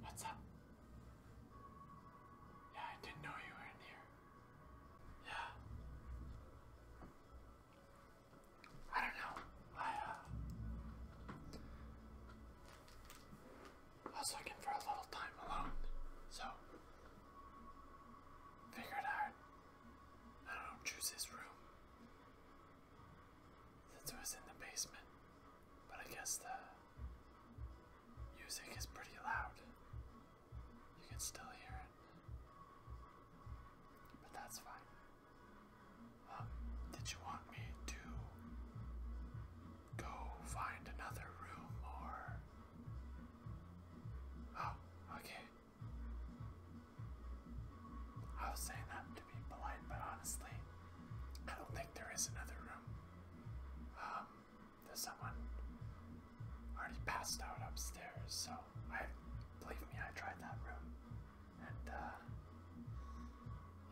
What's up? Yeah, I didn't know you were in here. Yeah. I don't know. I, uh, I was looking for a little time alone, so figured I'd, I don't know, choose this room. Since it was in the basement. But I guess the music is pretty loud. You can still hear it. But that's fine. Um, did you want me to go find another room or. Oh, okay. I was saying that to be polite, but honestly, I don't think there is another room. Um, there's someone already passed out upstairs, so I believe me, I tried that room, and uh,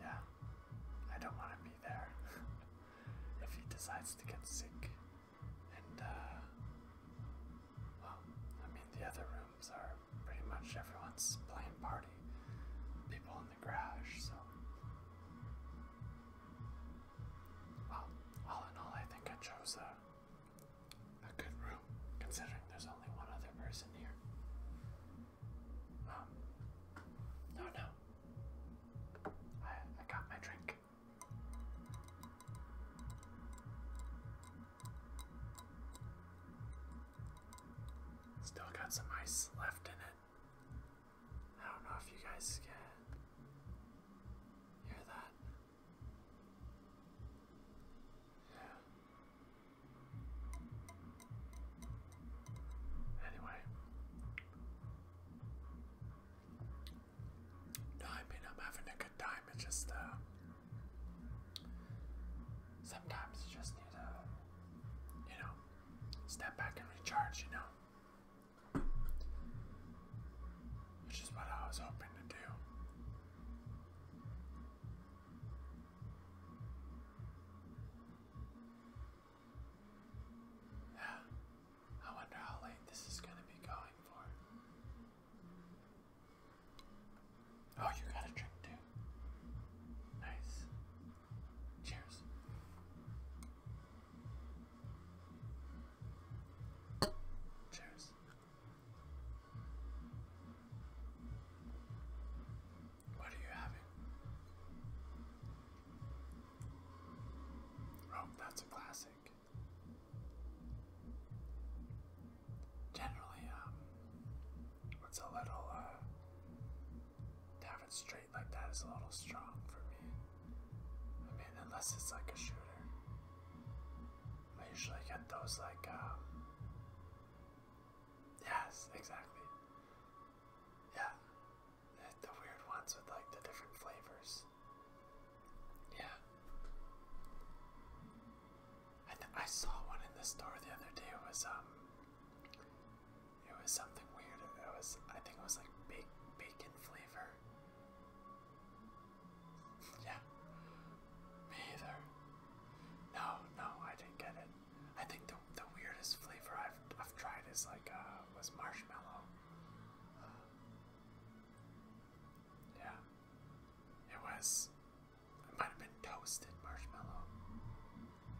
yeah, I don't want to be there if he decides to get sick. And uh, well, I mean, the other rooms are pretty much everyone's playing party. People in the garage, so. Well, all in all, I think I chose a, a good room, considering there's only one other person here. Um, no, no. I, I got my drink. Still got some ice left in it. I don't know if you guys can hear that. Yeah. Anyway. I mean I'm having a good time. It's just uh Sometimes you just need to, you know, step back and recharge, you know? Which is what I was hoping to do. Yeah, I wonder how late this is going to be going for. Oh, you got a drink too. Nice. Cheers. Cheers. What are you having? Oh, that's a classic. Generally, um, it's a little, uh, to have it straight like that is a little strong for me. I mean, unless it's like a shooter. I usually get those like, um, yes, exactly. Yeah, the weird ones with like the different flavors. Yeah. I I saw one in the store the other day. It was um, it was something weird. It was I think it was like bake, bacon flavor. yeah, me either. No, no, I didn't get it. I think the the weirdest flavor I've I've tried is like uh was marshmallow. Uh, yeah, it was I might have been toasted marshmallow.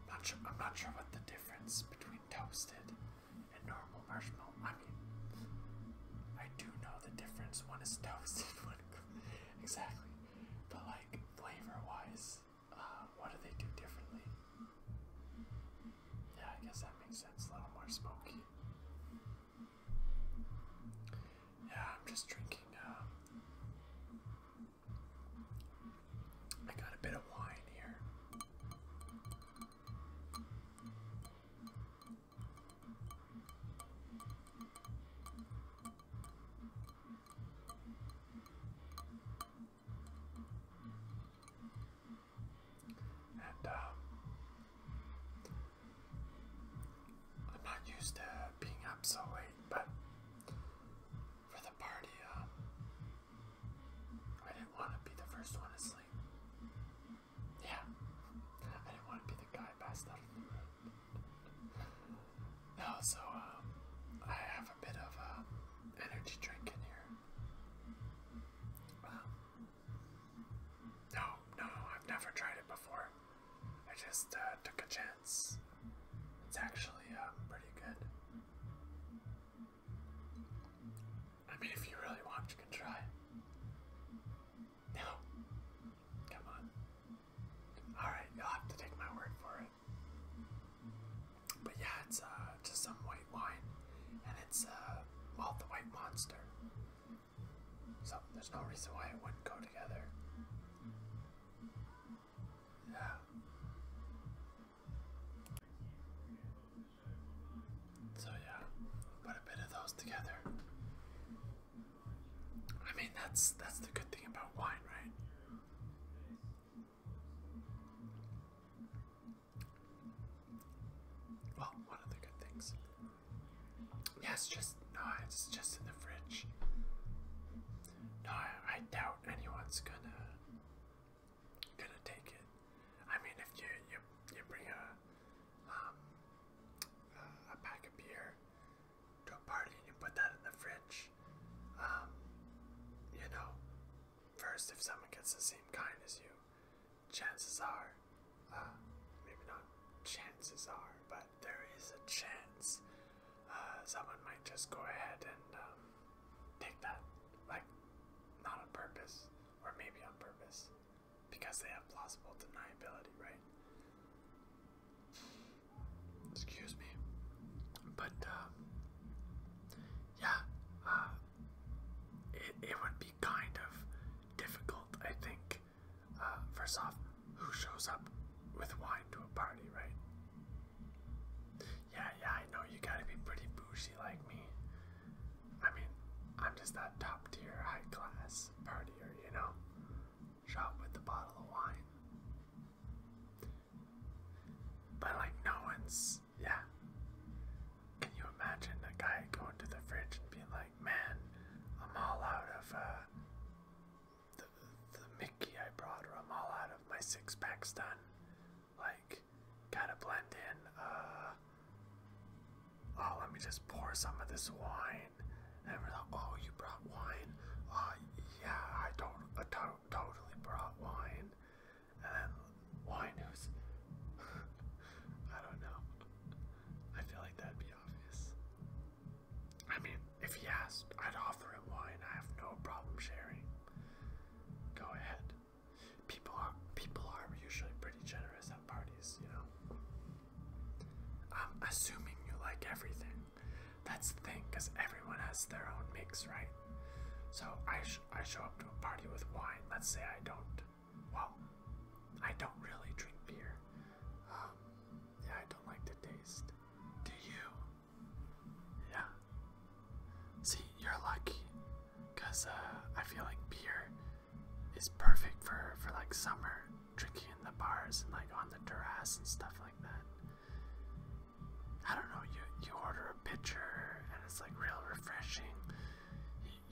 Not sure, I'm not sure what the difference between toasted and normal marshmallow. I mean, I do know the difference. One is toasted, one exactly. But like flavor-wise, uh, what do they do differently? Yeah, I guess that makes sense. A little more smoky. Yeah, I'm just drinking. Uh, I got a bit of wine here. And uh, I'm not used to being up so late, but for the party, uh, I didn't want to be the first one to sleep. Yeah, I didn't want to be the guy passed out of the room. No, um, I have a bit of uh, energy drink in here. Um, no, no, I've never tried it before. I just uh, took a chance. It's actually um, pretty good. I mean, if you really want, you can try. No. Come on. Alright, you'll have to take my word for it. But yeah, it's uh, just some white wine. And it's, uh, the white monster. So there's no reason why it wouldn't go together. Yeah. So yeah, put a bit of those together. I mean, that's that's the good thing about wine, right? Well, one of the good things. Yes, just no, it's just in the fridge. No, I doubt anyone's gonna gonna take it. I mean, if you you you bring a um, a pack of beer to a party and you put that in the fridge, um, you know, first if someone gets the same kind as you, chances are, uh, maybe not chances are, but there is a chance uh, someone might just go ahead and um, take that. Like, not on purpose, or maybe on purpose, because they have plausible deniability, right? Excuse me. But, um, yeah, uh, it would be kind of difficult, I think, uh, first off, who shows up with wine to a party, right? Yeah, yeah, I know you gotta be pretty bougie like me. I mean, I'm just that top tier, high class partier, you know? Shop with a bottle of wine. But, like, no one's. Yeah. Can you imagine a guy going to the fridge and being like, man, I'm all out of, uh, the, Mickey I brought, or I'm all out of my six packs done. Like, gotta blend in. Uh, oh, let me just pour some of this wine. And we're like, oh, you brought wine? Uh, yeah, I don't, I totally brought wine. And wine who's, I don't know. I feel like that'd be obvious. I mean, if he asked, I'd offer him wine. I have no problem sharing. Go ahead. People are people are usually pretty generous at parties, you know. I'm assuming you like everything. That's the thing, because everyone has their own mix, right? So I I show up to a party with wine. Let's say I don't. Well, I don't really drink beer. Um, yeah, I don't like the taste. Do you? Yeah. See, you're lucky, cause uh, I feel like beer is perfect for for like summer drinking in the bars and like on the terrace and stuff like that. I don't know. You you order a pitcher and it's like real refreshing.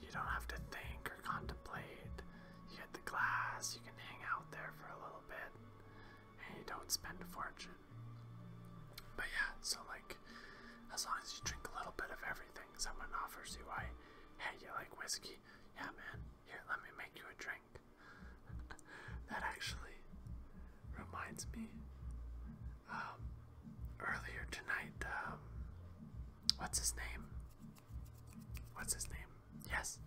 you don't have to think or contemplate. You get the glass. You can hang out there for a little bit. Hey, don't spend a fortune. But yeah, so like, as long as you drink a little bit of everything, someone offers you, I, hey, you like whiskey? Yeah, man, here, let me make you a drink. that actually reminds me, um, earlier tonight, um, what's his name? what's his name? Yes.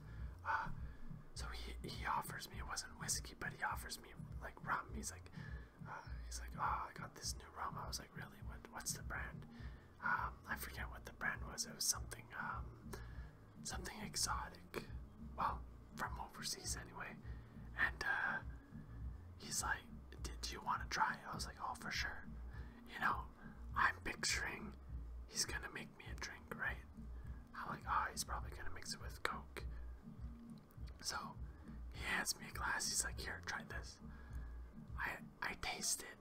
Uh, so he he offers me. It wasn't whiskey, but he offers me like rum. He's like, uh, he's like, oh, I got this new rum. I was like, really? What what's the brand? Um, I forget what the brand was. It was something um, something exotic. Well, from overseas anyway. And uh, he's like, did you want to try? It? I was like, oh, for sure. You know, I'm picturing he's gonna make me a drink, right? i like, oh, he's probably gonna mix it with Coke. So he hands me a glass. He's like, here, try this. I I taste it.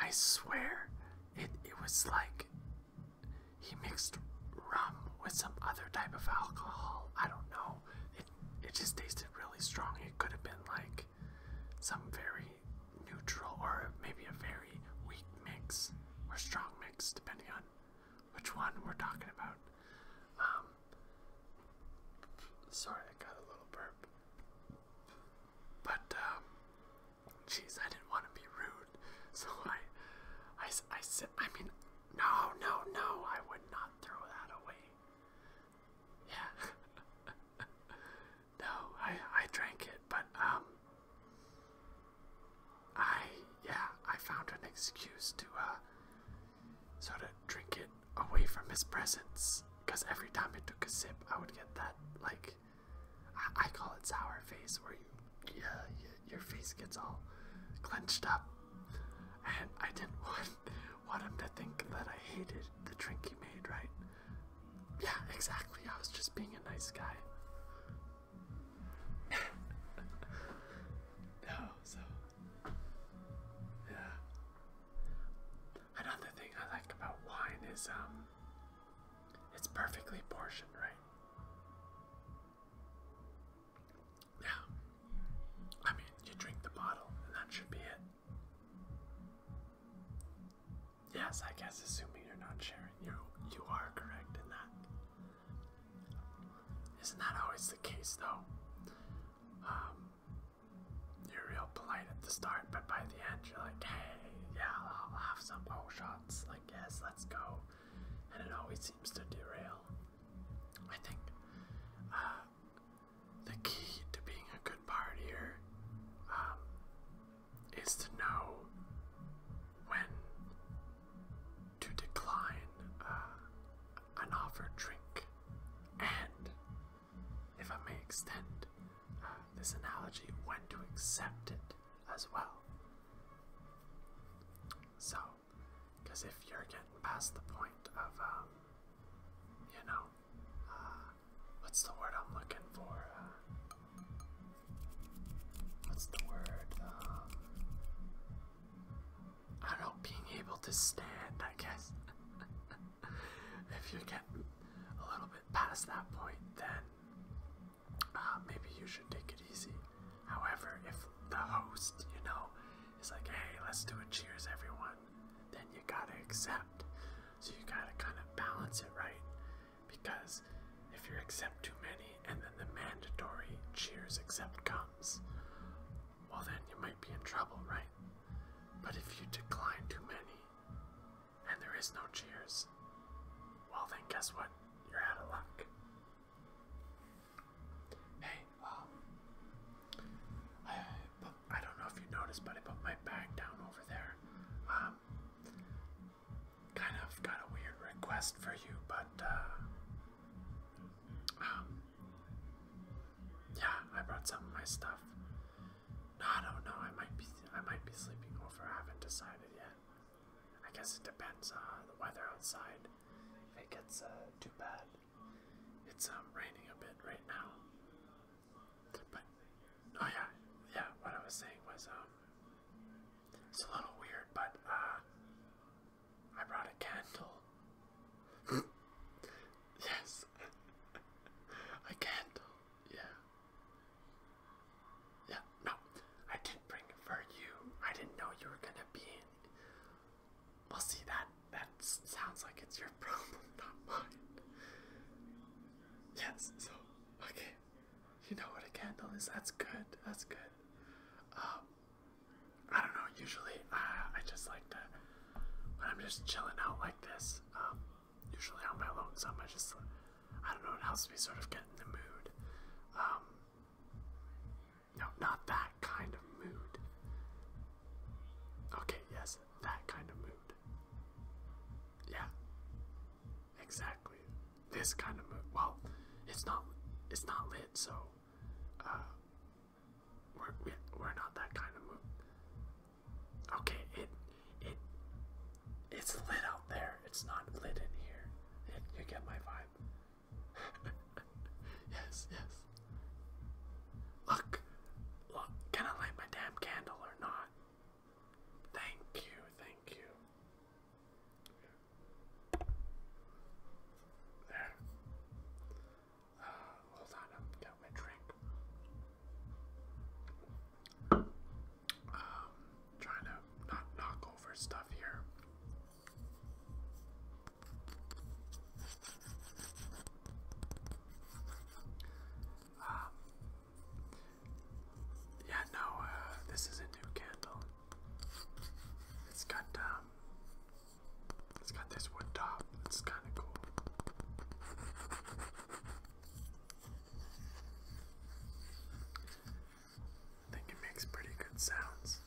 I swear, it it was like he mixed rum with some other type of alcohol. I don't know. It it just tasted really strong. It could have been like some very neutral or maybe a very weak mix or strong mix, depending on which one we're talking about. Um, sorry, I got a little burp. But, um, jeez, I didn't want to be rude, so I, I, I said, I mean, no, no, no, I would not throw that away. Yeah. No, I I drank it, but um I yeah, I found an excuse to uh sort of drink it away from his presence because every time he took a sip, I would get that like I, call it sour face where you yeah, your face gets all clenched up. And I didn't want want him to think that I hated the drink he made, right? Yeah, exactly. I was just being a nice guy. no, so. Yeah. Another thing I like about wine is um it's perfectly portioned, right? Yeah. I mean, you drink the bottle and that should be it. Yes, I guess assuming you're not sharing, you you are correct in that. Isn't that always the case though? Um, you're real polite at the start, but by the end you're like, hey, yeah, I'll have some bow shots. Like, yes, let's go. And it always seems to derail. I think uh, the key to being a good partier um, is to know when to decline uh, an offered drink. And, if I may extend uh, this analogy, when to accept it as well. So, because if you're getting past the point of, um, you know, uh, what's the word I'm looking for? what's the word? Uh, I don't being able to stand, I guess. if you get a little bit past that point, then uh, maybe you should take it easy. However, if the host, you know, is like, hey, let's do a cheers, everyone, then you gotta accept. So you gotta kind of balance it right because if you accept too many and then the mandatory cheers accept comes, well, then you might be in trouble, right? But if you decline too many and there is no cheers, well, then guess what? You're out of luck. Hey, um, I, I don't know if you noticed, but I put my bag down over there. Um, kind of got a weird request for you, but uh, um, yeah, I brought some of my stuff. No, I don't know. I might be, I might be sleeping over. I haven't decided yet. I guess it depends on uh, the weather outside. If it gets uh, too bad, it's um, raining a bit right now. But oh yeah, yeah. What I was saying was um, it's a little weird, but uh, I brought a candle. yes, a candle. Yeah. Yeah. No, I didn't bring it for you. I didn't know you were gonna be in. Well, see that that sounds like it's your problem, not mine. Yes. So, okay. You know what a candle is. That's good. That's good. Um, I don't know. Usually, uh, I just like to when I'm just chilling out like this. Um, usually on my lonesome, I just I don't know. It helps me sort of get in the mood. Um, no, not that kind of mood. Okay, yes, that kind of mood. Yeah, exactly this kind of movie. Well, it's not it's not lit, so uh, we're we, are we are not that kind of movie. Okay, it it it's lit out there. It's not lit in here. It, you get my vibe. yes, yes. Look, look, can I light my damn candle or not? Thank you, thank you. There. Uh, hold on, I'm getting my drink. Um, trying to not knock over stuff here. Um, yeah, no, uh, this is a new candle. It's got um, it's got this wood top. It's kind of cool. I think it makes pretty good sounds.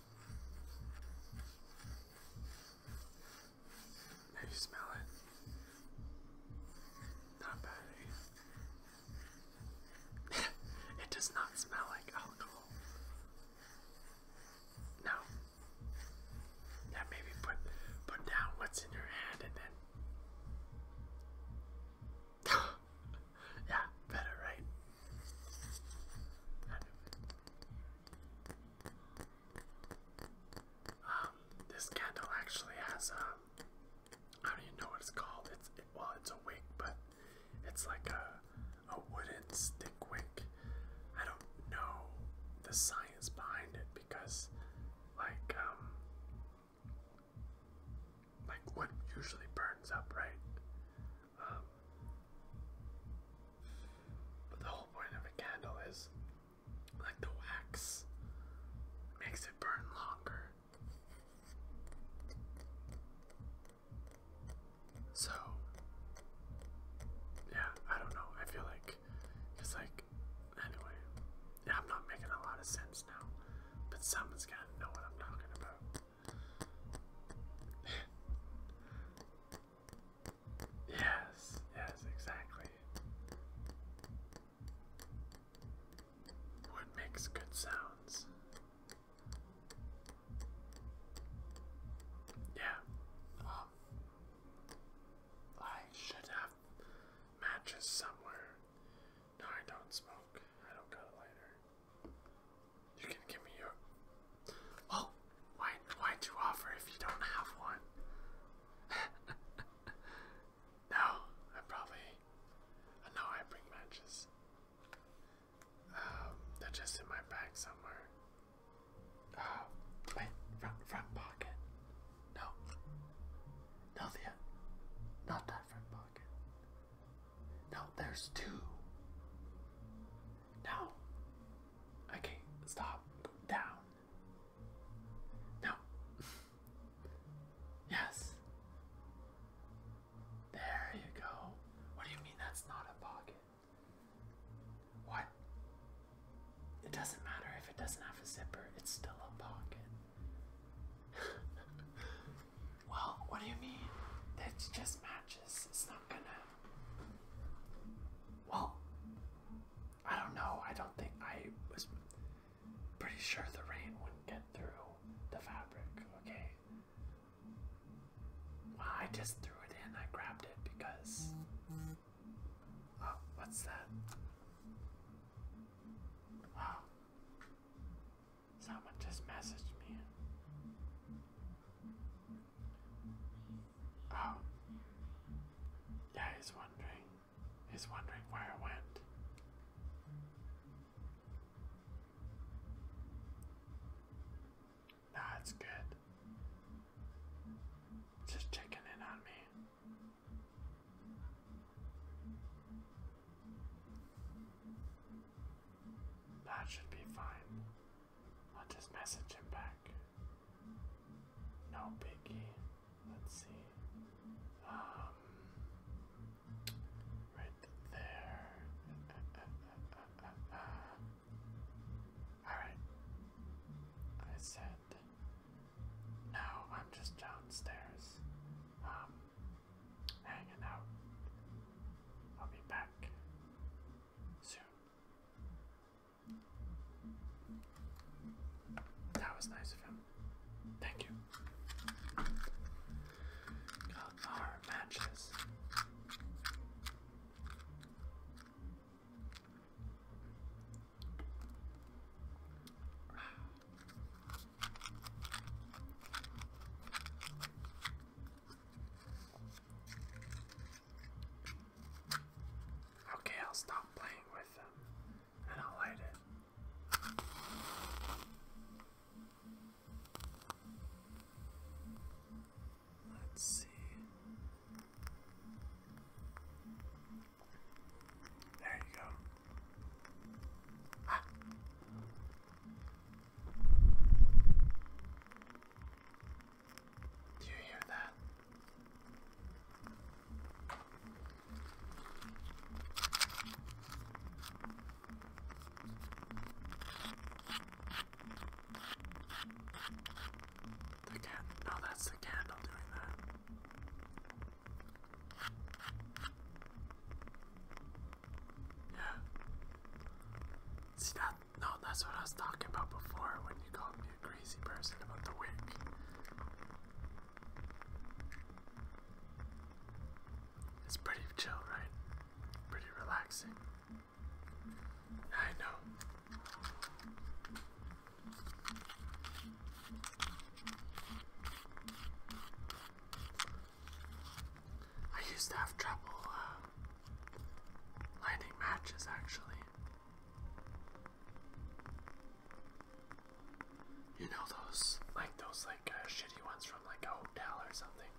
Now you smell it. Not bad, eh? it does not smell like alcohol. No. Yeah, maybe put put down what's in your hand and then Yeah, better, right? Um, this candle actually has um I don't even know what it's called. It's well, it's a wick, but it's like a a wooden stick wick. I don't know the science behind it because, like, um, like wood usually burns up, right? Um, but the whole point of a candle is, like, the wax makes it burn longer. So, yeah, I don't know. I feel like it's like, anyway, I'm not making a lot of sense now, but someone's gonna know what I'm talking about. yes, yes, exactly. What makes good sounds? Yeah. Um, I should have matches somewhere. No, I don't smoke. I don't got a lighter. You can give me your. Oh, why? Why'd you offer if you don't have one? no, I probably me. And I bring matches. Um, they're just in my bag somewhere. Uh, wait, front, front pocket. No. No, the, not that front pocket. No, there's two. No. Okay, stop. down. No. Yes. There you go. What do you mean that's not a pocket? What? It doesn't matter if it doesn't have a zipper, it's still a pocket. well, what do you mean? That just matches. It's not gonna. Well, I don't know. I don't think I was pretty sure the rain wouldn't get through the fabric, okay? I just threw it in, I grabbed it because. Oh, what's that? Wow. Oh. Someone just messaged me. Oh. Yeah, wondering. He's wondering where I went. Nah, it's good. Just checking in on me. That should be fine. I'll just message him back. No biggie. Let's see. Um, right there. Alright. I said. No, I'm just downstairs. Um, hanging out. I'll be back soon. That was nice of him. Thank you. Got our matches. Okay, I'll stop playing with them. Let's see. There you go. Ah. Do you hear that? The cat, no, oh, that's the candle doing that. Yeah. See that? No, that's what I was talking about before when you called me a crazy person about the wick. It's pretty chill, right? Pretty relaxing. I know. I used to have trouble uh, lighting matches actually. You know those, like those, like uh, shitty ones from like a hotel or something.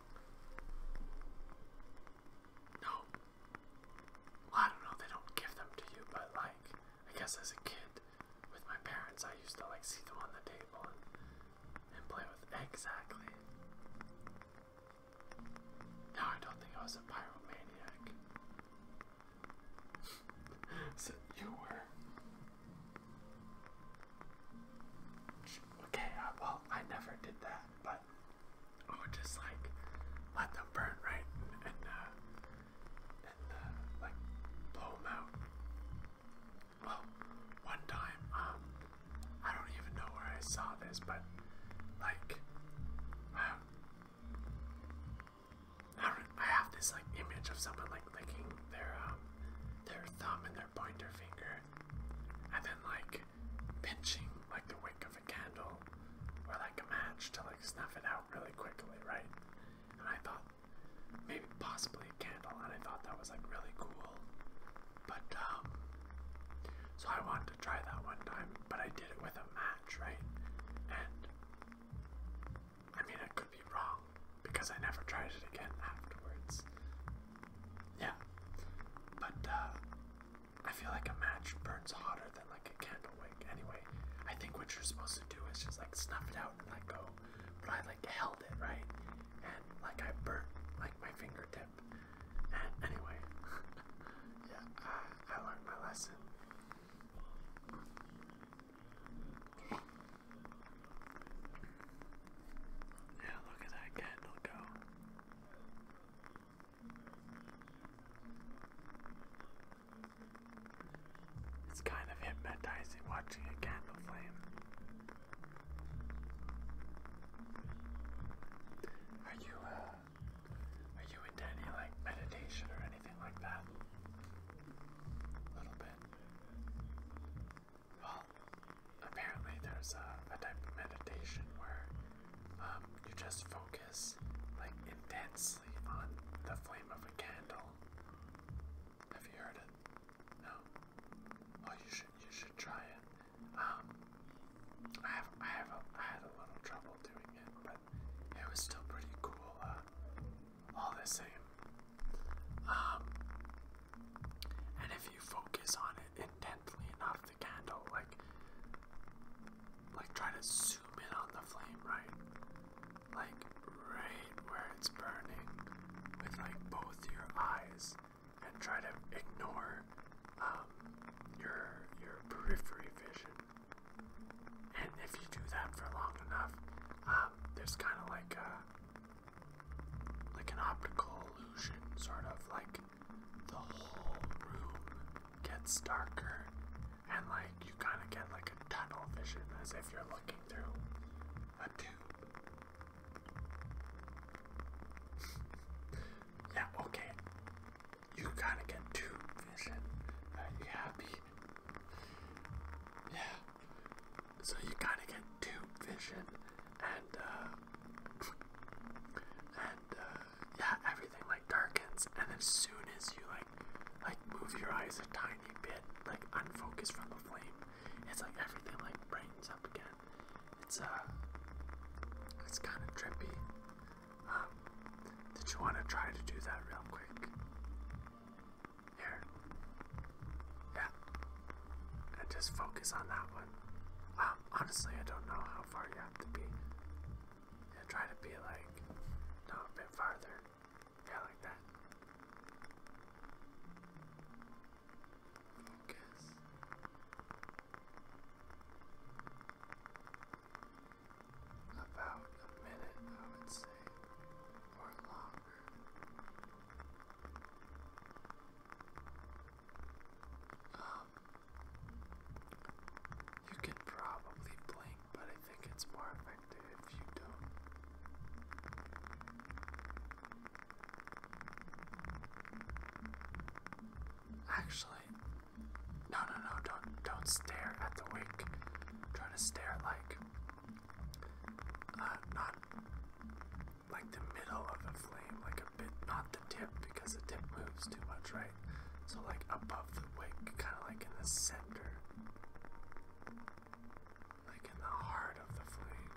No, I don't know. They don't give them to you, but like, I guess as a kid with my parents, I used to like see them on the table and play with exactly. No, I don't think I was a pyromaniac. Said you were. Okay, well, I never did that, but I would just like let them burn, right? And, uh, and, uh, like blow them out. Well, one time, um, I don't even know where I saw this, but like, um, I, have this like image of someone like licking their um, their thumb and their pointer finger, and then like pinching like the wick of a candle or like a match to like snuff it out really quickly, right? And I thought maybe possibly a candle, and I thought that was like really cool, but um, so I wanted to try that one time, but I did it with a match, right? And I mean, I could be wrong because I never tried it again afterwards. Yeah, but uh, I feel like a match burns hotter than like a candle wick. Anyway, I think what you're supposed to do is just like snuff it out and let go. But I like held it right, and like I burnt like my fingertip. And anyway, yeah, I learned my lesson. Yeah, look at that candle go. It's kind of hypnotizing watching a candle flame. Are you uh, are you into any like meditation or anything like that? A little bit. Well, apparently there's a, type of meditation where um, you just focus like intensely on the flame of a candle. Have you heard it? No. Well, you should you should try it. Um, I have I have a, I had a little trouble doing it, but it was still pretty cool. Uh, all the same. Um, and if you focus on it intently enough, the candle, like, like try to zoom in on the flame, right? Like right where it's burning, with like both your eyes, and try to ignore um, your your periphery vision. And if you do that for long enough, there's kind of like a, like an optical illusion, sort of like the whole room gets darker, and like you kind of get like a tunnel vision as if you're looking through a tube. yeah, okay. You kind of get tube vision. Are you happy? Yeah. So you kind of get two vision and uh, and uh, yeah, everything like darkens. And as soon as you like like move your eyes a tiny bit, like unfocus from the flame, it's like everything like brightens up again. It's uh, it's kind of trippy. Um, did you want to try to do that real quick? Here. Yeah. And just focus on that one. Um, honestly, I don't know how far you have to be. try to be like, no, a bit farther. Yeah, like that. Focus. About a minute, I would say you could probably blink, but I think it's more effective if you don't. Actually, no, no, no! Don't, don't stare at the wig. Try to stare like uh, not like the middle of a flame, like a bit, not the tip because the tip moves too much, right? So like above the wick, kind of like in the center, like in the heart of the flame.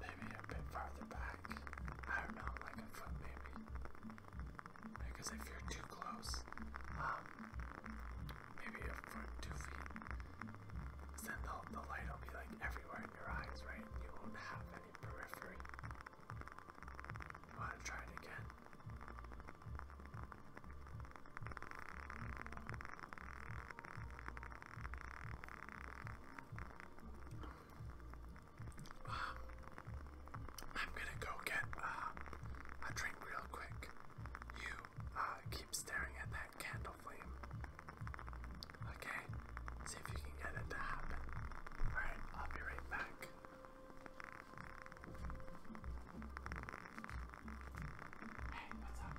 Maybe a bit farther back. I don't know, like a foot maybe. Because if you're too close, um, maybe a foot, two feet, then the, the light will be like everywhere in your eyes, right? you won't have any periphery. You want to again? Um, I'm gonna go get uh, a drink real quick. You uh, keep staring at that candle flame. Okay, see if you can get it to happen. Alright, I'll be right back. Hey, what's up?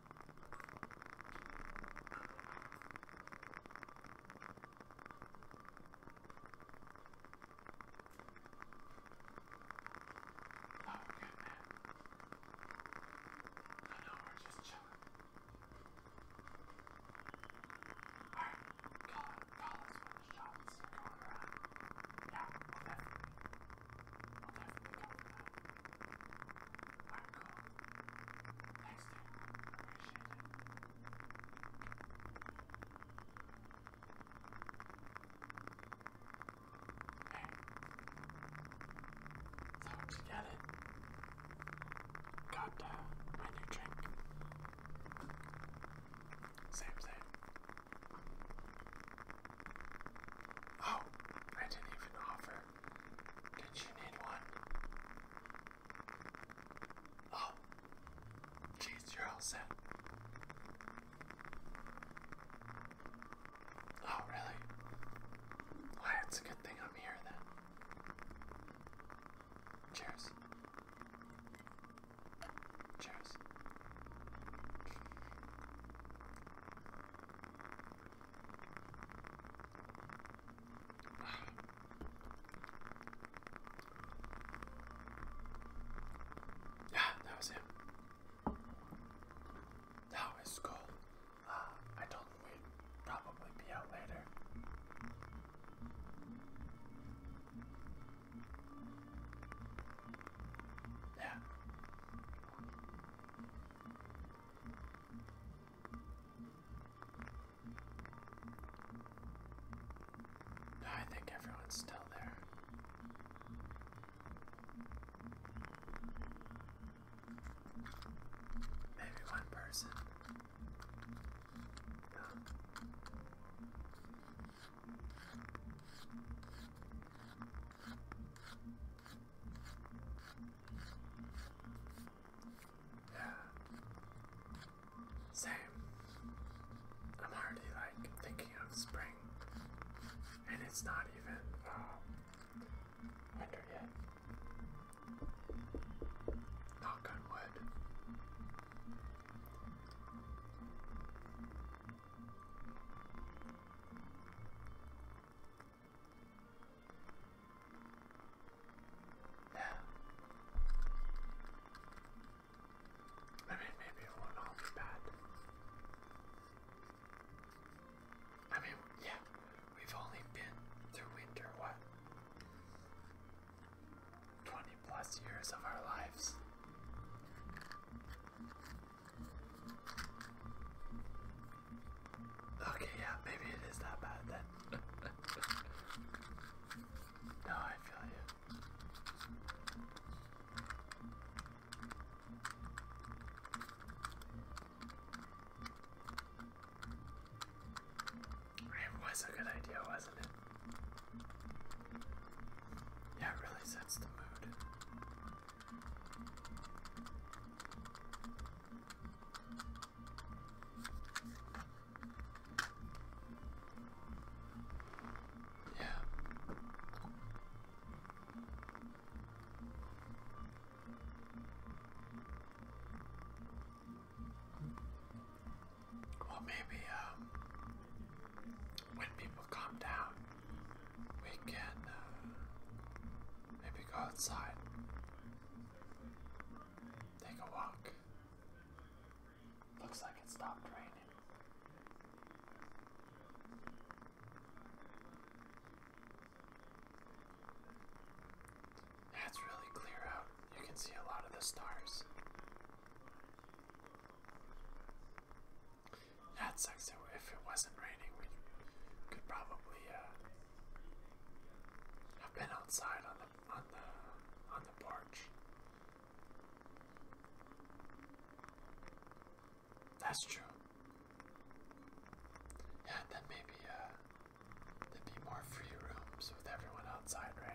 Oh, good man. No, no, we're just chilling. Alright, call it, call us when the shots are going around. Yeah, we'll definitely, we'll definitely go for that. Alright, cool. Thanks, dude. Appreciate it. Hey. So, did you get it? Got my new drink. Same, same. Oh, I didn't even offer. Did you need one? Oh, jeez, you're all set. Oh, really? Why, it's a good thing I'm here then. Cheers. Cheers. Yeah, that was it. Now it's cool. Uh, I told him we'd probably be out later. Yeah. I think everyone's still there. Maybe one person. No. Yeah. Same. I'm already like thinking of spring. And it's not even um, winter yet. Knock on wood. Yeah. I maybe it won't all be bad. I mean, yeah, we've only been through winter, what? 20 plus years of our lives. Okay, yeah, maybe it is that bad then. no, I feel you. It was a good idea, wasn't it? Yeah, it really sets the mood. Yeah. Well, maybe um, when people calm down, we can uh, maybe go outside, take a walk. Looks like it stopped raining. Yeah, really clear out. You can see a lot of the stars. That sucks. If it wasn't raining, we could probably uh, I've been outside on the on the on the porch. That's true. Yeah, then maybe uh there'd be more free rooms with everyone outside, right?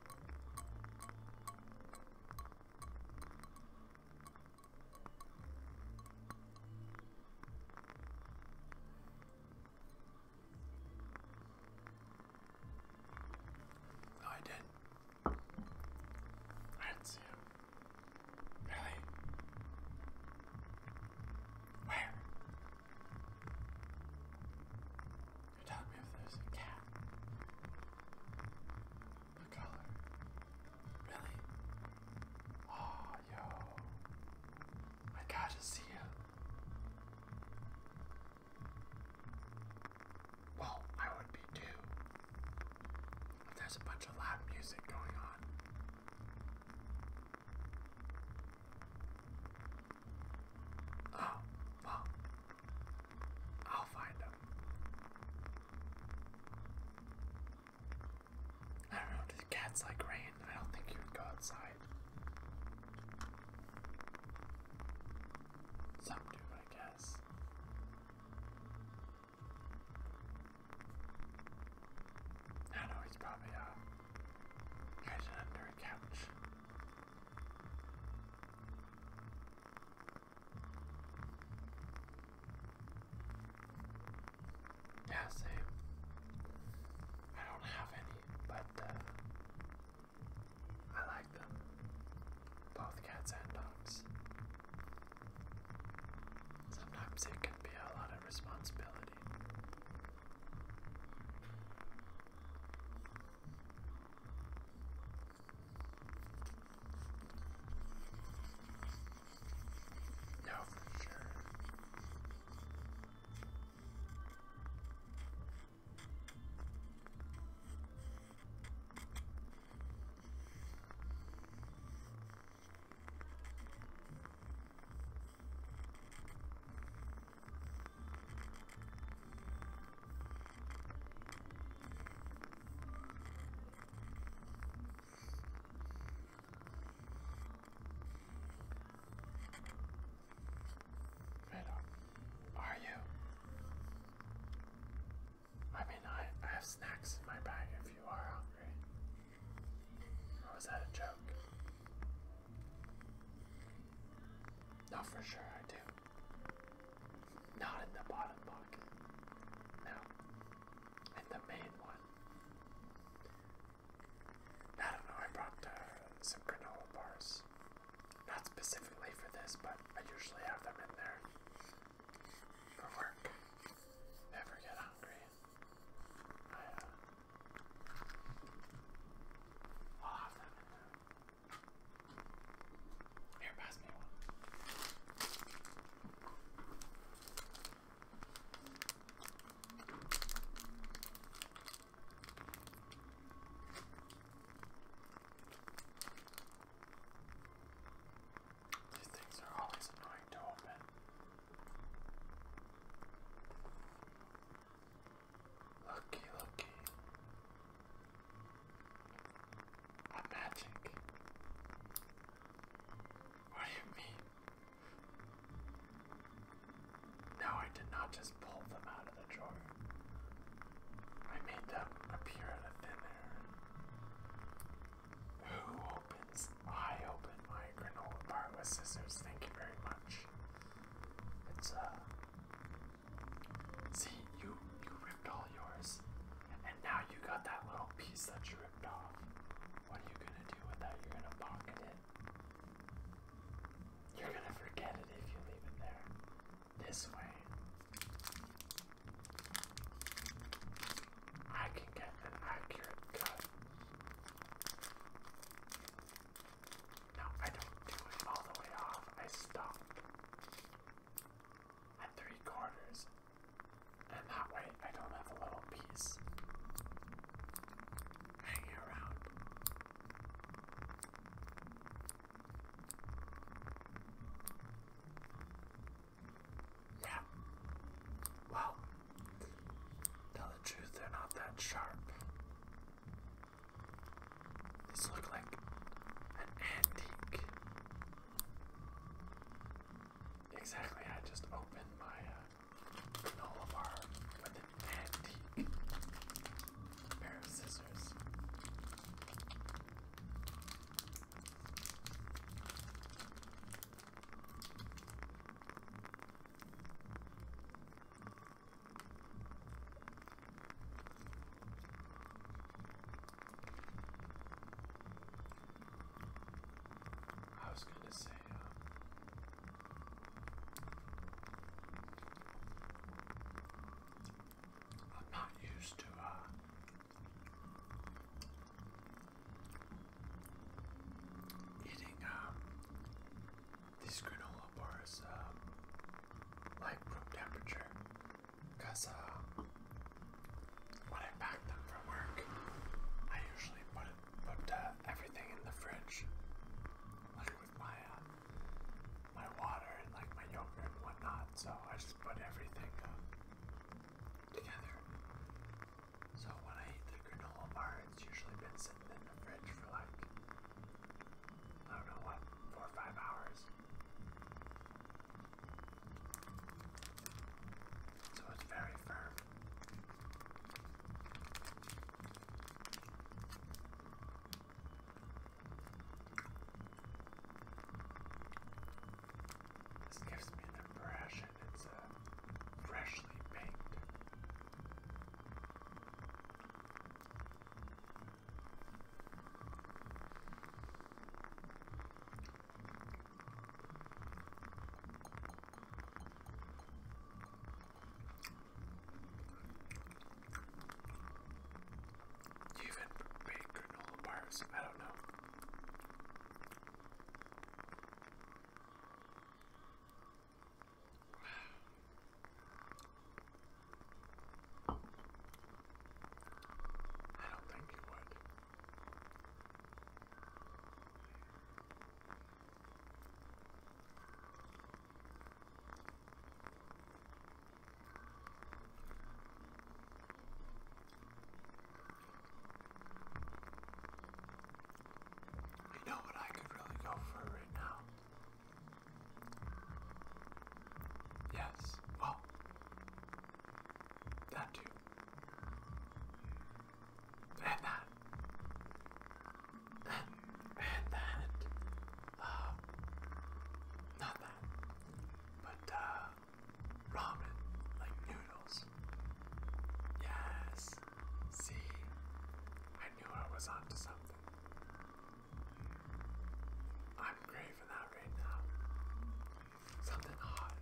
I did. I didn't Really? Where? Tell me if there's a cat. The color. Really? Oh, yo. I gotta see him. Well, I would be too. If there's a bunch of loud music going on. Oh, well, I'll find him. I know, cats like rain. I don't think you would go outside. Some I guess. I know, he's probably uh, hiding under a couch. Yeah, same. I don't have any, but uh, I like them. Both cats and dogs. Sometimes it can be a lot of responsibility. No, for sure. Riddle, are you? I mean, I, I have snacks in my bag if you are hungry. Or oh, was that a joke? No, for sure I do. Not in the bottom pocket. No. In the main one. I don't know, I brought some granola bars. Not specifically for this, but I usually have them in there for work. Never get hungry. Uh, I'll have them in there. Here, pass me one. These things are always annoying to open. Lucky, lucky. magic. What do you mean? No, I did not just pull them out of the drawer. I made them appear out of thin air. Who opens? I open my granola bar with scissors. Thank you very much. It's a uh, See, you you ripped all yours, and now you got that little piece that you ripped off. What are you gonna do with that? You're gonna pocket it. You're gonna forget it if you leave it there. This way, I can get an accurate cut. No, I don't do it all the way off. I stop at three quarters, and that way I don't have a little piece hanging around. Yeah. Well, tell the truth, they're not that sharp. This look like an antique. Exactly, I just opened my uh, with an antique pair of scissors. I was going to say, uh, I'm not used to uh, eating um, these granola bars. Um, like room temperature because uh, when I pack them for work, I usually put, put uh, everything in the fridge, like with my uh, my water and like my yogurt and whatnot. So I just put everything together. So when I eat the granola bar, it's usually been sitting in the fridge for like I don't know what, four or five hours. So it's very firm. This gives me the impression it's uh, freshly painted. You even made granola bars. I don't know. I don't think you would. You know what I could really go for right now? Yes, well, that too. And that. And, that. Uh, not that. But, uh, ramen, like noodles. Yes. See? I knew I was onto something. I'm craving that right now. Something hot.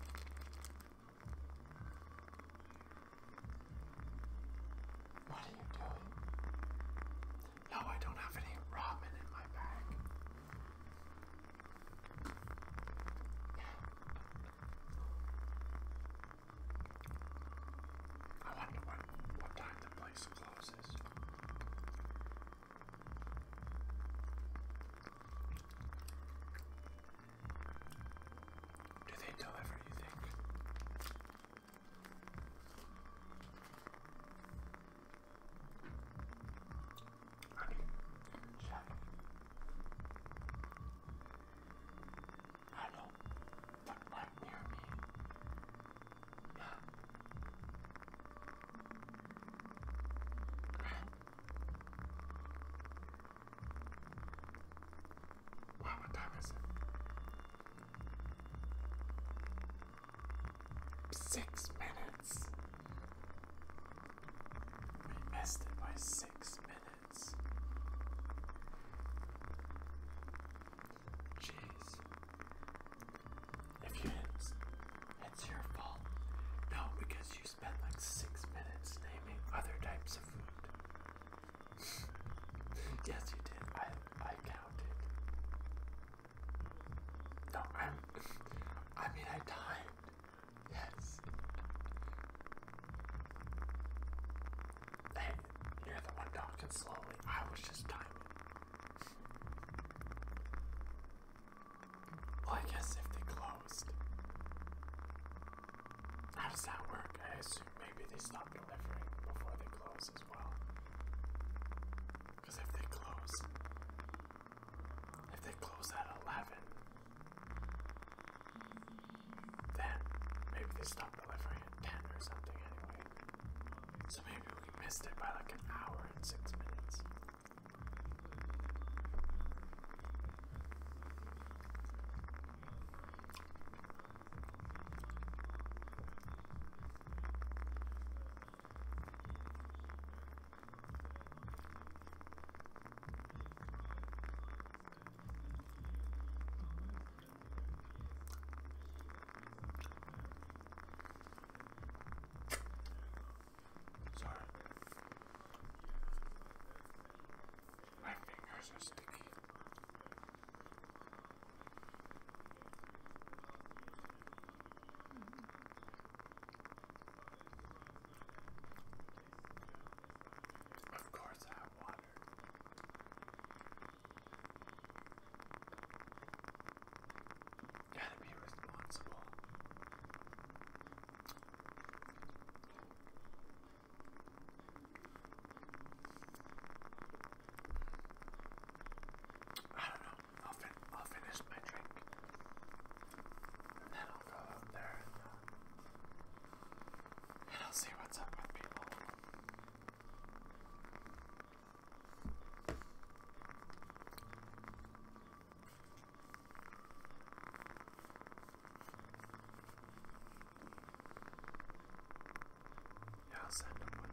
What are you doing? No, I don't have any ramen in my bag. I wonder what, time the place closes. Do they deliver, you think? I mean, shut up. I know, but right me what time is it? Six minutes. We missed it by six minutes. Jeez. If you it's, it's your fault. No, because you spent like six minutes naming other types of food. yes, you did. I I counted. No, I'm. I mean, I timed. Yes. Hey, you're the one talking slowly. I was just timing. Well, I guess if they closed. How does that work? I assume maybe they stop delivering before they close as well. Because if they close, if they close at 11, then maybe they stop delivering at 10 or something so maybe we missed it by like an hour and six minutes. Sorry. My fingers are sticky. Of course, I have water. Gotta be responsible. I don't know. I'll, fin I'll finish my drink. And then I'll go out there and, uh, and I'll see what's up with people. Yeah, I'll send him one.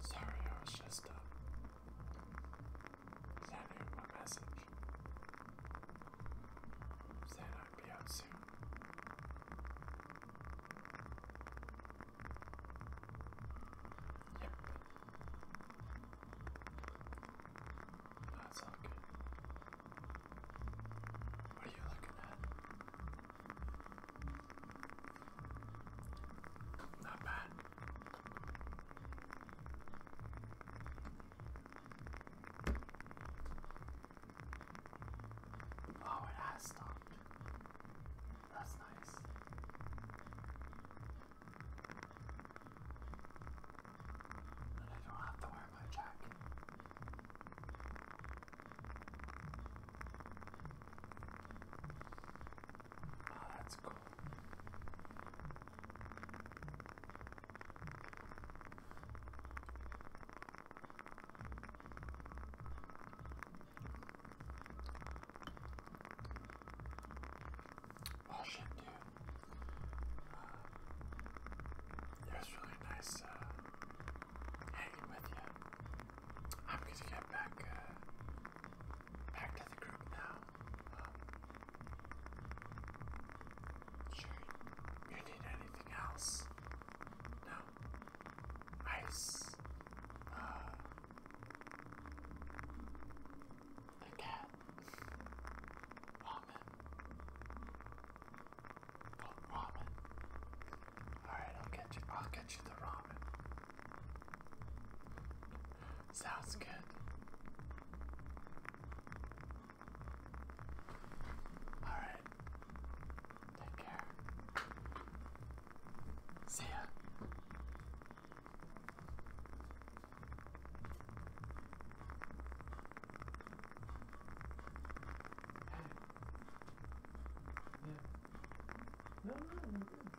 Sorry, I was just up. Uh, Sent him a message. Said I'd be out soon. Yep. That's all What are you looking at? Not bad. Oh, it has stopped. That's nice. And I don't have to wear my jacket that's cool. Well, oh, shit, uh, it was really nice uh, hanging with you. I'm gonna get back uh, back to the group now. Um, sure, you need anything else? No. Ice. the uh, cat. Ramen. ramen. Alright, I'll get you I'll get you the ramen. Sounds good. Alright. Take care. See ya. Hey. Yeah. No, no, no, no.